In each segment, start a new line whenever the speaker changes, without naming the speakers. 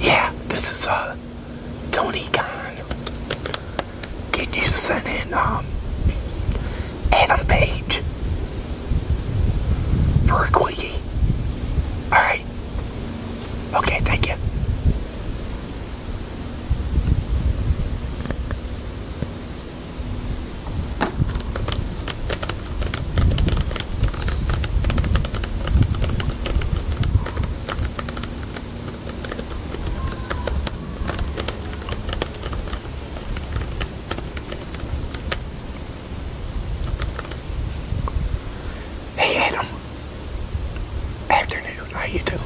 Yeah, this is a uh, Tony Khan. Can you send in um, Adam Page for a quickie? Alright. Okay, thank you. Hey Adam. Afternoon, how you doing?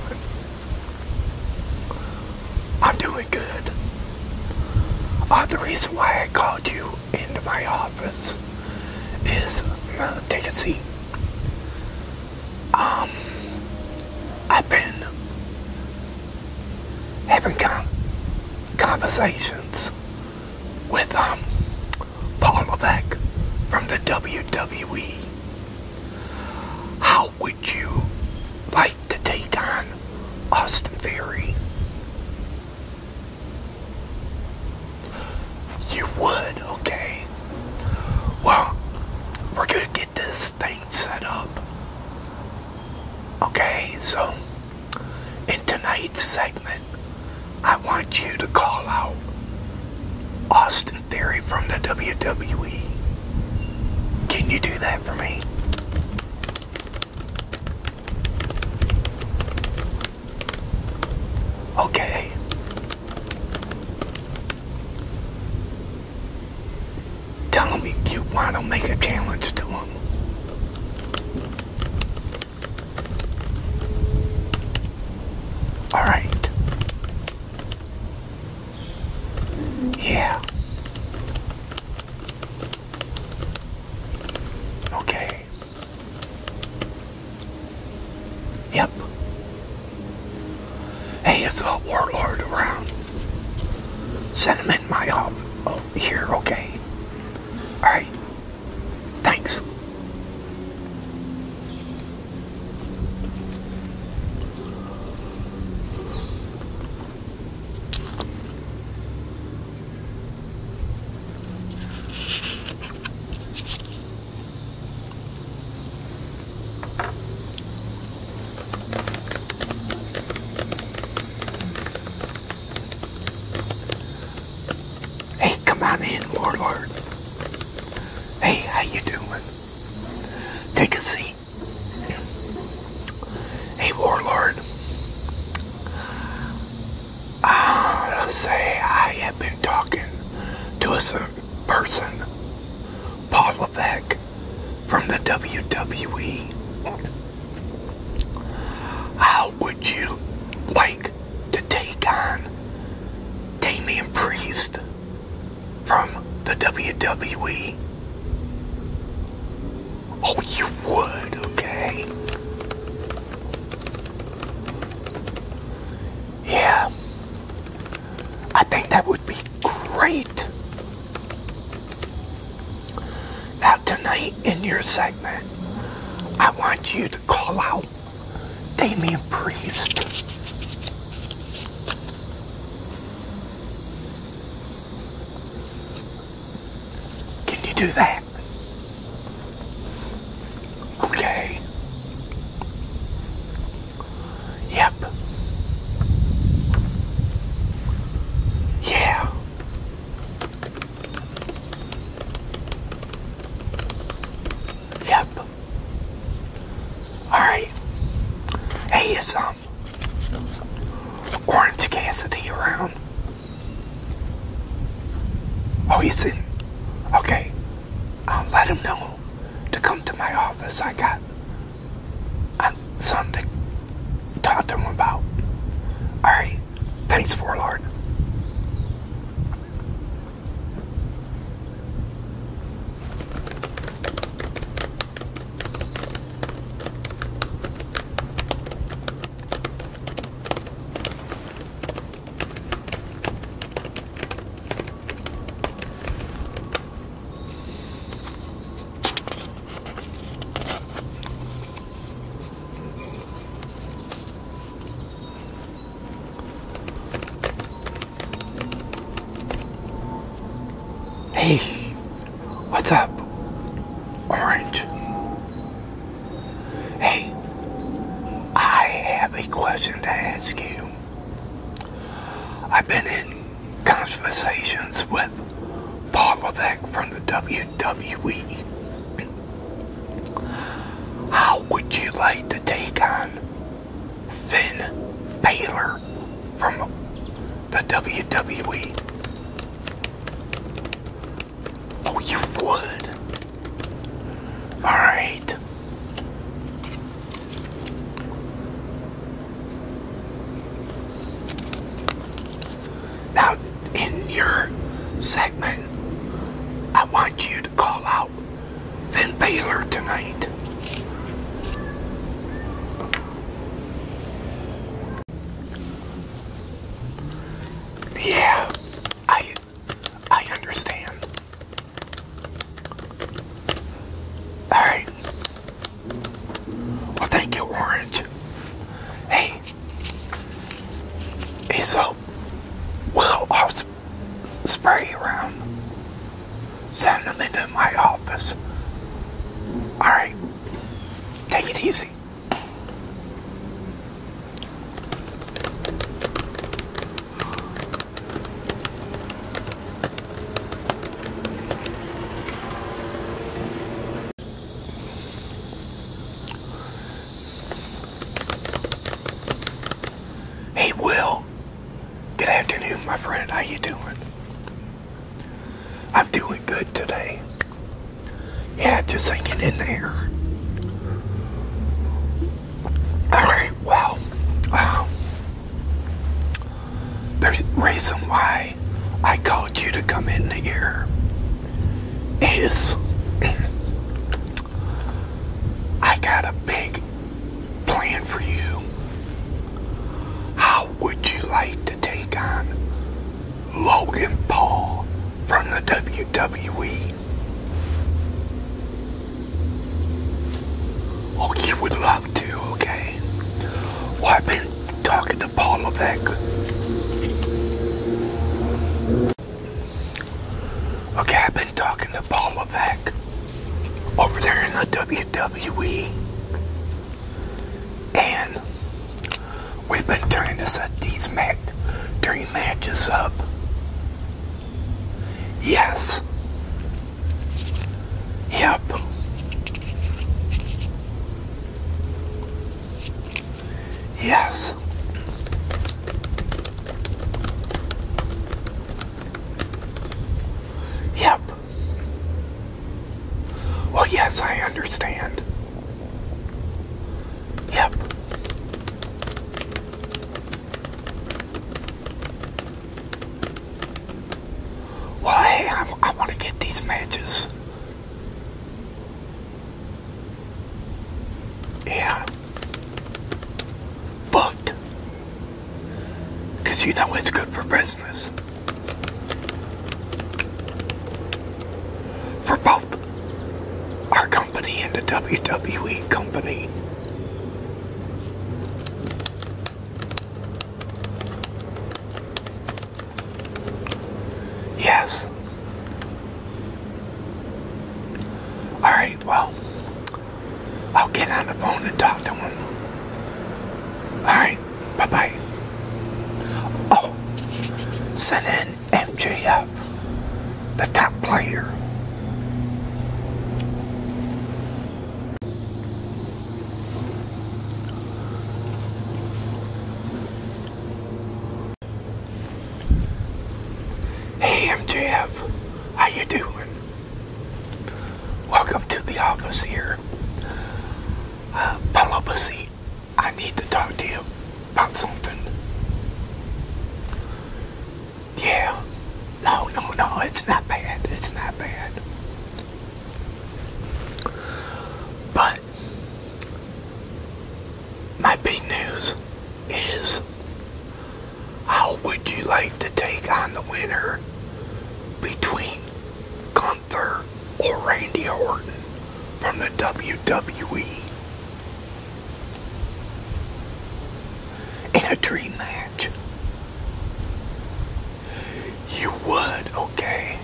I'm doing good. Uh, the reason why I called you into my office is uh, take a seat. Um, I've been having conversations with um, Paul Levesque from the WWE. How would you like to take on Austin Theory? You would, okay? Well, we're gonna get this thing set up. Okay, so in tonight's segment, I want you to call out Austin Theory from the WWE. Can you do that for me? Okay. Tell me you want to make a challenge to him. All right. Yeah. Okay. Yep. Hey, it's a warlord around. Send him in my home um, oh, here, okay? Alright. Thanks. Hey, come on in, Warlord. Hey, how you doing? Take a seat. Hey, Warlord. I let say I have been talking to a certain person, Paul Levesque, from the WWE. How would you like to take on Damian Priest from the WWE? Oh, you would, okay? Yeah. I think that would be great. Now, tonight in your segment, I want you to call out Damian Priest. Can you do that? Okay. Yep. Yeah. Yep. Alright. Hey, is um Orange Cassidy around? Oh, he's in. Okay. I'll um, let him know to come to my office. I got um, something to talk to him about. All right. Thanks, for Lord. Hey, what's up, Orange? Hey, I have a question to ask you. I've been in conversations with Paul Levesque from the WWE. How would you like to take on Finn Balor from the WWE? Oh, you would. All right. Now, in your segment, I want you to call out Finn Baylor tonight. Yeah, I I understand. Alright. Well, thank you, Orange. Hey. Hey, so, well, I'll spray around. Send them into my office. Alright. Take it easy. Hey Will, good afternoon my friend, how you doing? I'm doing good today. Yeah, just hanging in there. All right, well, uh, the reason why I called you to come in here is I got a big plan for you. How would you like to take on Logan Paul from the WWE? Oh, you would love to, okay? I've been talking to Paula Okay, I've been talking to Paula over there in the WWE. And we've been turning this set these matches fight during matches up. Yes. Yep. Yes. Yep. Well, yes, I understand. Yep. Well, hey, I, want to get these matches. Yeah. Booked. Because you know it's good for business. For both our company and the WWE company. Yes. All right, well, I'll get on the phone and talk to him. All right, bye-bye. Oh, send in MJF, the top player. Hey MJF, how you doing? Welcome to the office here. Uh, up a seat. I need to talk to you about something. Yeah. No, no, no. It's not bad. It's not bad. But my big news is how would you like to take on the winner between Gunther or Randy Orton from the WWE? in a dream match. You would, okay?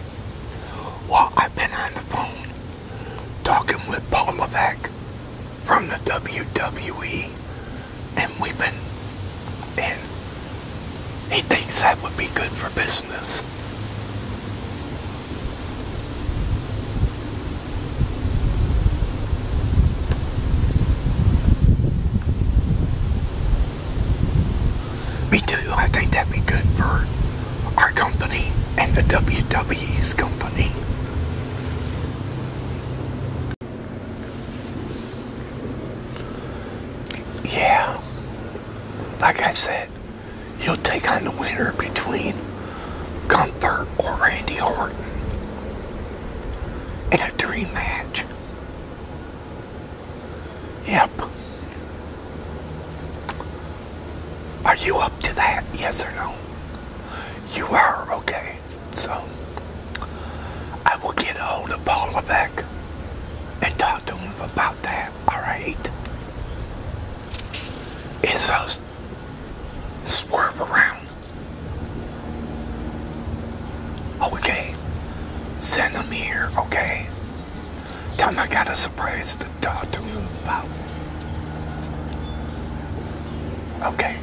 Well, I've been on the phone talking with Paul Levesque from the WWE, and we've been, and he thinks that would be good for business. Me too. I think that'd be good for our company and the WWE's company. Yeah. Like I said, he'll take on the winner between Gunther or Randy Orton in a dream match. Yep. Are you up to that? Yes or no? You are, okay. So, I will get a hold of Paul Levesque and talk to him about that, alright? It's those swerve around. Okay, oh, send them here, okay? Tell them I got a surprise to talk to them about. Okay.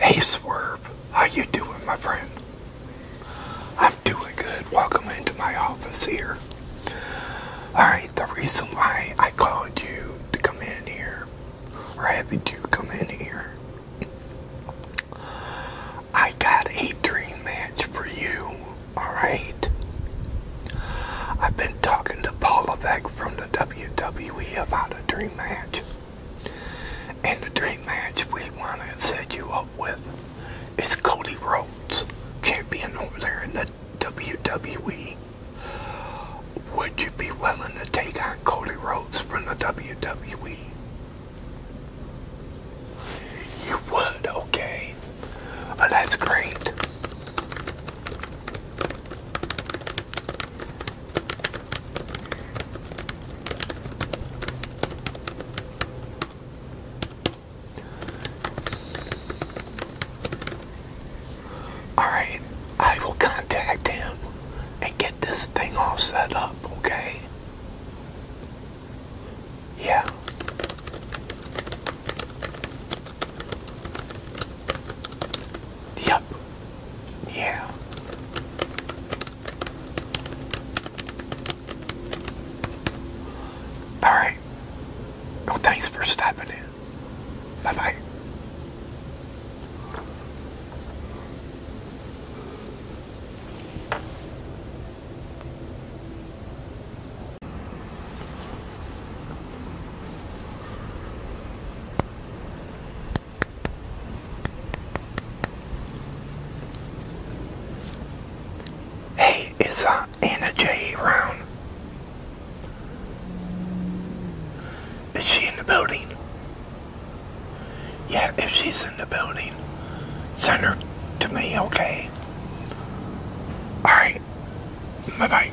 Hey Swerve, how you doing my friend? I'm doing good. Welcome into my office here. Alright, the reason why I called you to come in here, or having you come in here, I got a dream match for you. Alright? I've been talking to Paul Levesque from the WWE about a dream match. And the dream match we want to set you up with it's Cody Rhodes, champion over there in the WWE. Would you be willing to take on Cody Rhodes from the WWE? You would, okay. Well, that's great. Alright, I will contact him and get this thing all set up, okay? Yeah. Yep. Yeah. All right. thanks for stopping in. Bye bye. Hey, it's uh, Anna J. Round. Is she in the building? Yeah, if she's in the building, send her to me, okay? Alright. Bye-bye.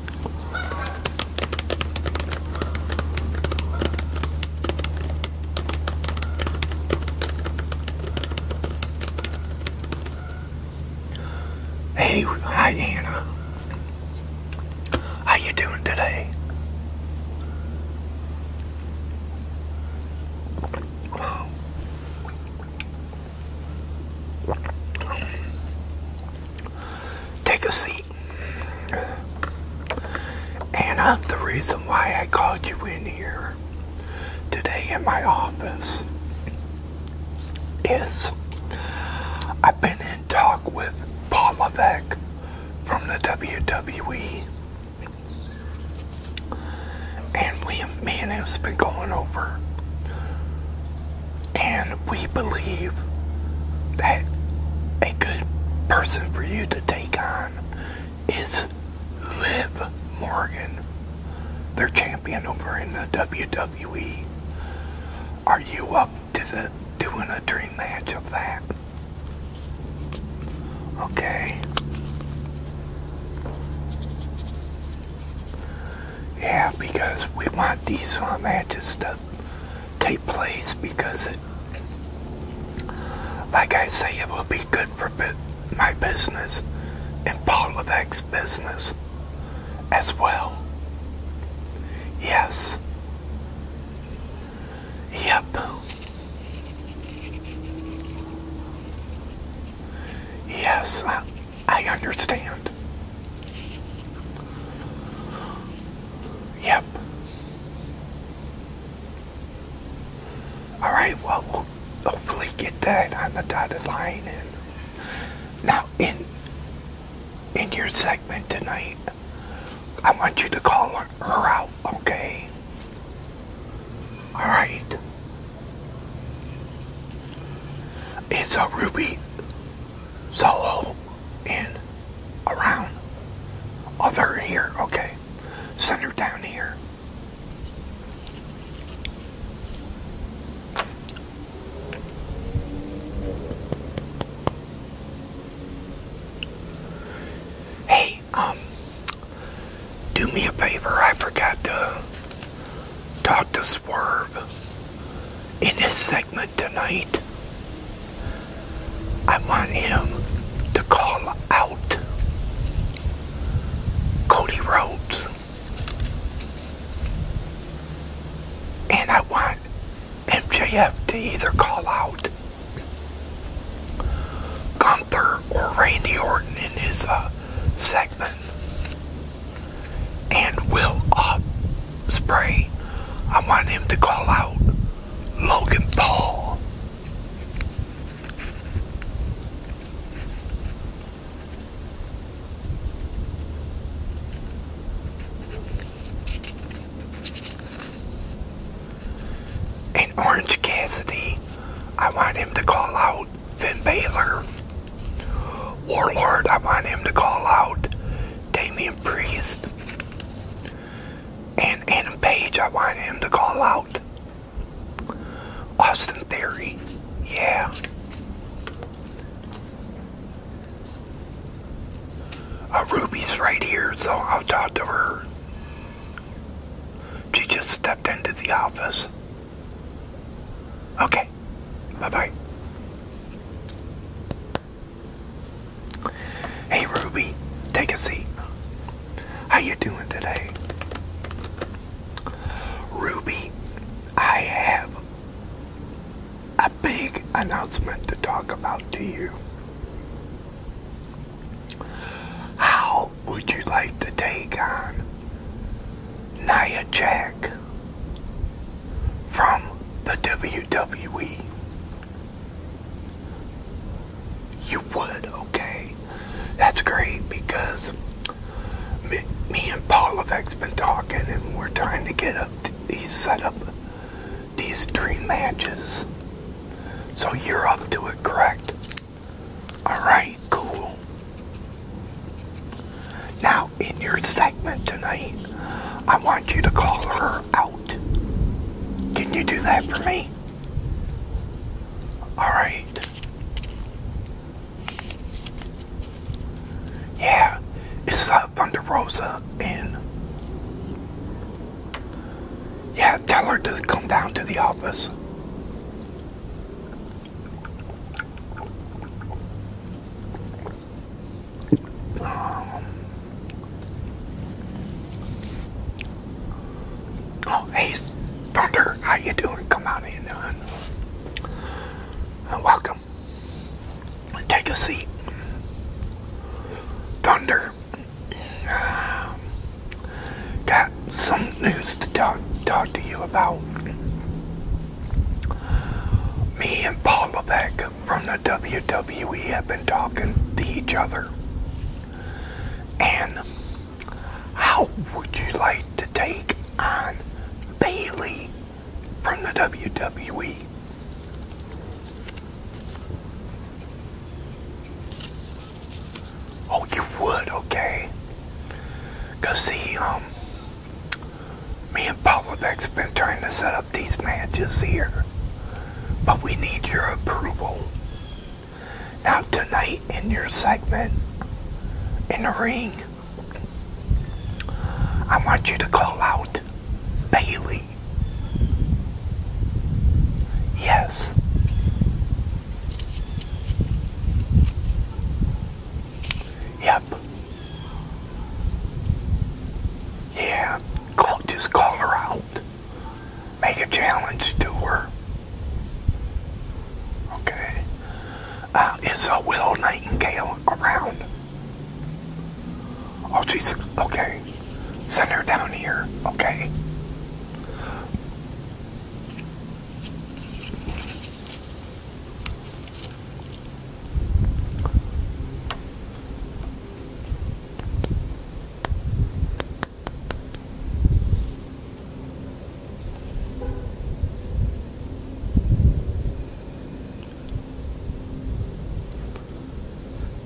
Hey, hi Anna. How you doing today? Take a seat. And Anna, uh, the reason why I called you in here today in my office is I've been in talk with Paul Levesque from the WWE. And we, me and him's been going over. And and we believe that a good person for you to take on is Liv Morgan. They're champion over in the WWE. Are you up to the doing a dream match of that? Okay. Yeah, because we want these uh, matches to take place because it, like I say, it will be good for my business and Paul of X business as well. Yes. Yep. Yes, I understand. Yep. Alright, well, hopefully get that on the dotted line. And now, in, in your segment tonight, I want you to call her, out, okay? Alright. It's a Ruby So. And around. other here. Okay. Send her down here. Hey, um, do me a favor. I forgot to talk to Swerve in this segment tonight, I want him to call out Cody Rhodes. And I want MJF to either call out Gunther or Randy Orton in his uh, segment. And we will up uh, spray, I want him to call out Logan Paul. And Orange Cassidy, I want him to call out Finn Balor. Warlord, I want him to call out Damian Priest. And Adam Page, I want him to call out. Austin Theory, yeah. Uh, Ruby's right here, so I'll talk to her. She just stepped into the office. Okay, bye-bye. Hey Ruby, take a seat. How you doing today? Ruby, I have a big announcement to talk about to you. How would you like to take on Nia Jack from the WWE. You would, okay? That's great because me, and Paul have been talking and we're trying to get up these set up these three matches. So you're up to it, correct? Alright, cool. Now, in your segment tonight, I want you to call her out. Can you do that for me? Alright. Yeah, it's South Thunder Rosa and yeah, tell her to come down to the office. Um, oh, hey, Thunder, how you doing? Come on in and uh, welcome. Take a seat. Thunder. got some news to talk, talk to you about. Me and Paul Levesque from the WWE have been talking to each other. And how would you like to take on Bailey from the WWE? Oh, you would, okay. Cause see, um, me and Pavlovic's been trying to set up these matches here, but we need your approval. Now, tonight in your segment, in the ring, I want you to call out Bailey. Yes. Yep. Yeah, call, just call her out. Make a challenge to her. Okay. Uh, is a uh, Willow Nightingale around? Oh, she's okay. Send her down here, okay?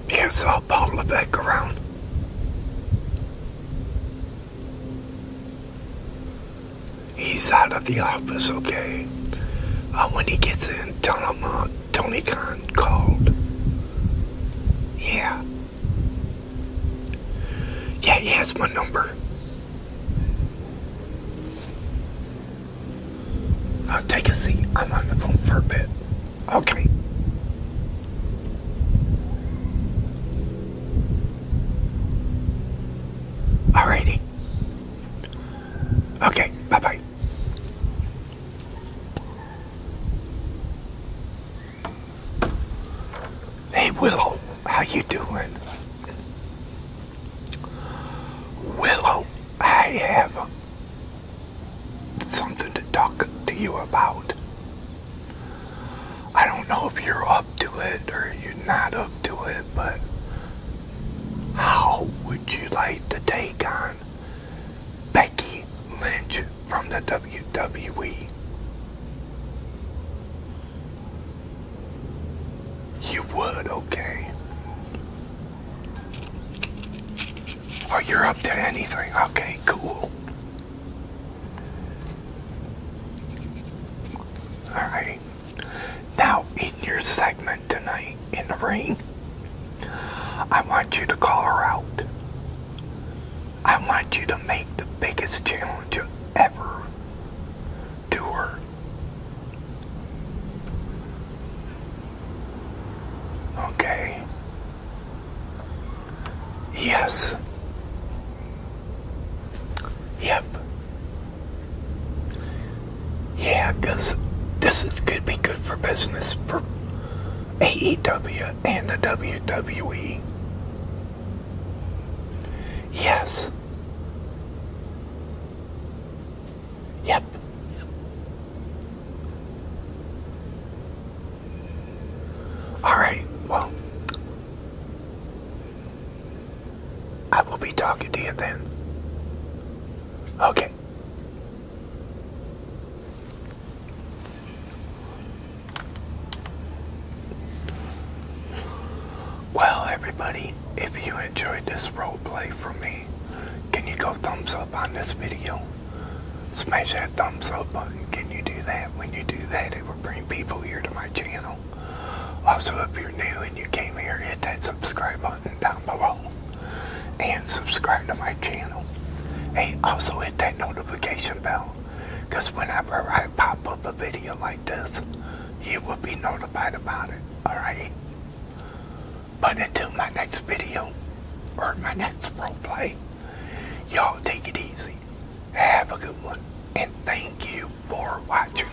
Can't saw Paul around. He's out of the office, okay? Uh, when he gets in, tell him uh, Tony Khan called. Yeah. Yeah, he has my number. I'll take a seat. I'm on the phone for a bit. Okay. Alrighty. Okay, bye bye. Hey Willow, how you doing? Willow, I have something to talk to you about. I don't know if you're up to it or you're not up to it, but how would you like to take on Becky Lynch from the WWE? You would, okay. Or you're up to anything. Okay, cool. Alright. Now, in your segment, tonight in the ring, I want you to call her out. I want you to make the biggest challenge you ever do her. Okay. Yes. Yep. Yeah, because this is, could be good for business for AEW and the WWE. Yes. Yep. Alright, well, I will be talking to you then. Okay. Well, everybody, if you enjoyed this roleplay from me, can you go thumbs up on this video? Smash that thumbs up button. Can you do that? When you do that, it will bring people here to my channel. Also, if you're new and you came here, hit that subscribe button down below and subscribe to my channel. Hey, also hit that notification bell because whenever I pop up a video like this, you will be notified about it. Alright? But until my next video or my next role play, y'all take it easy. Have a good one. And thank you for watching.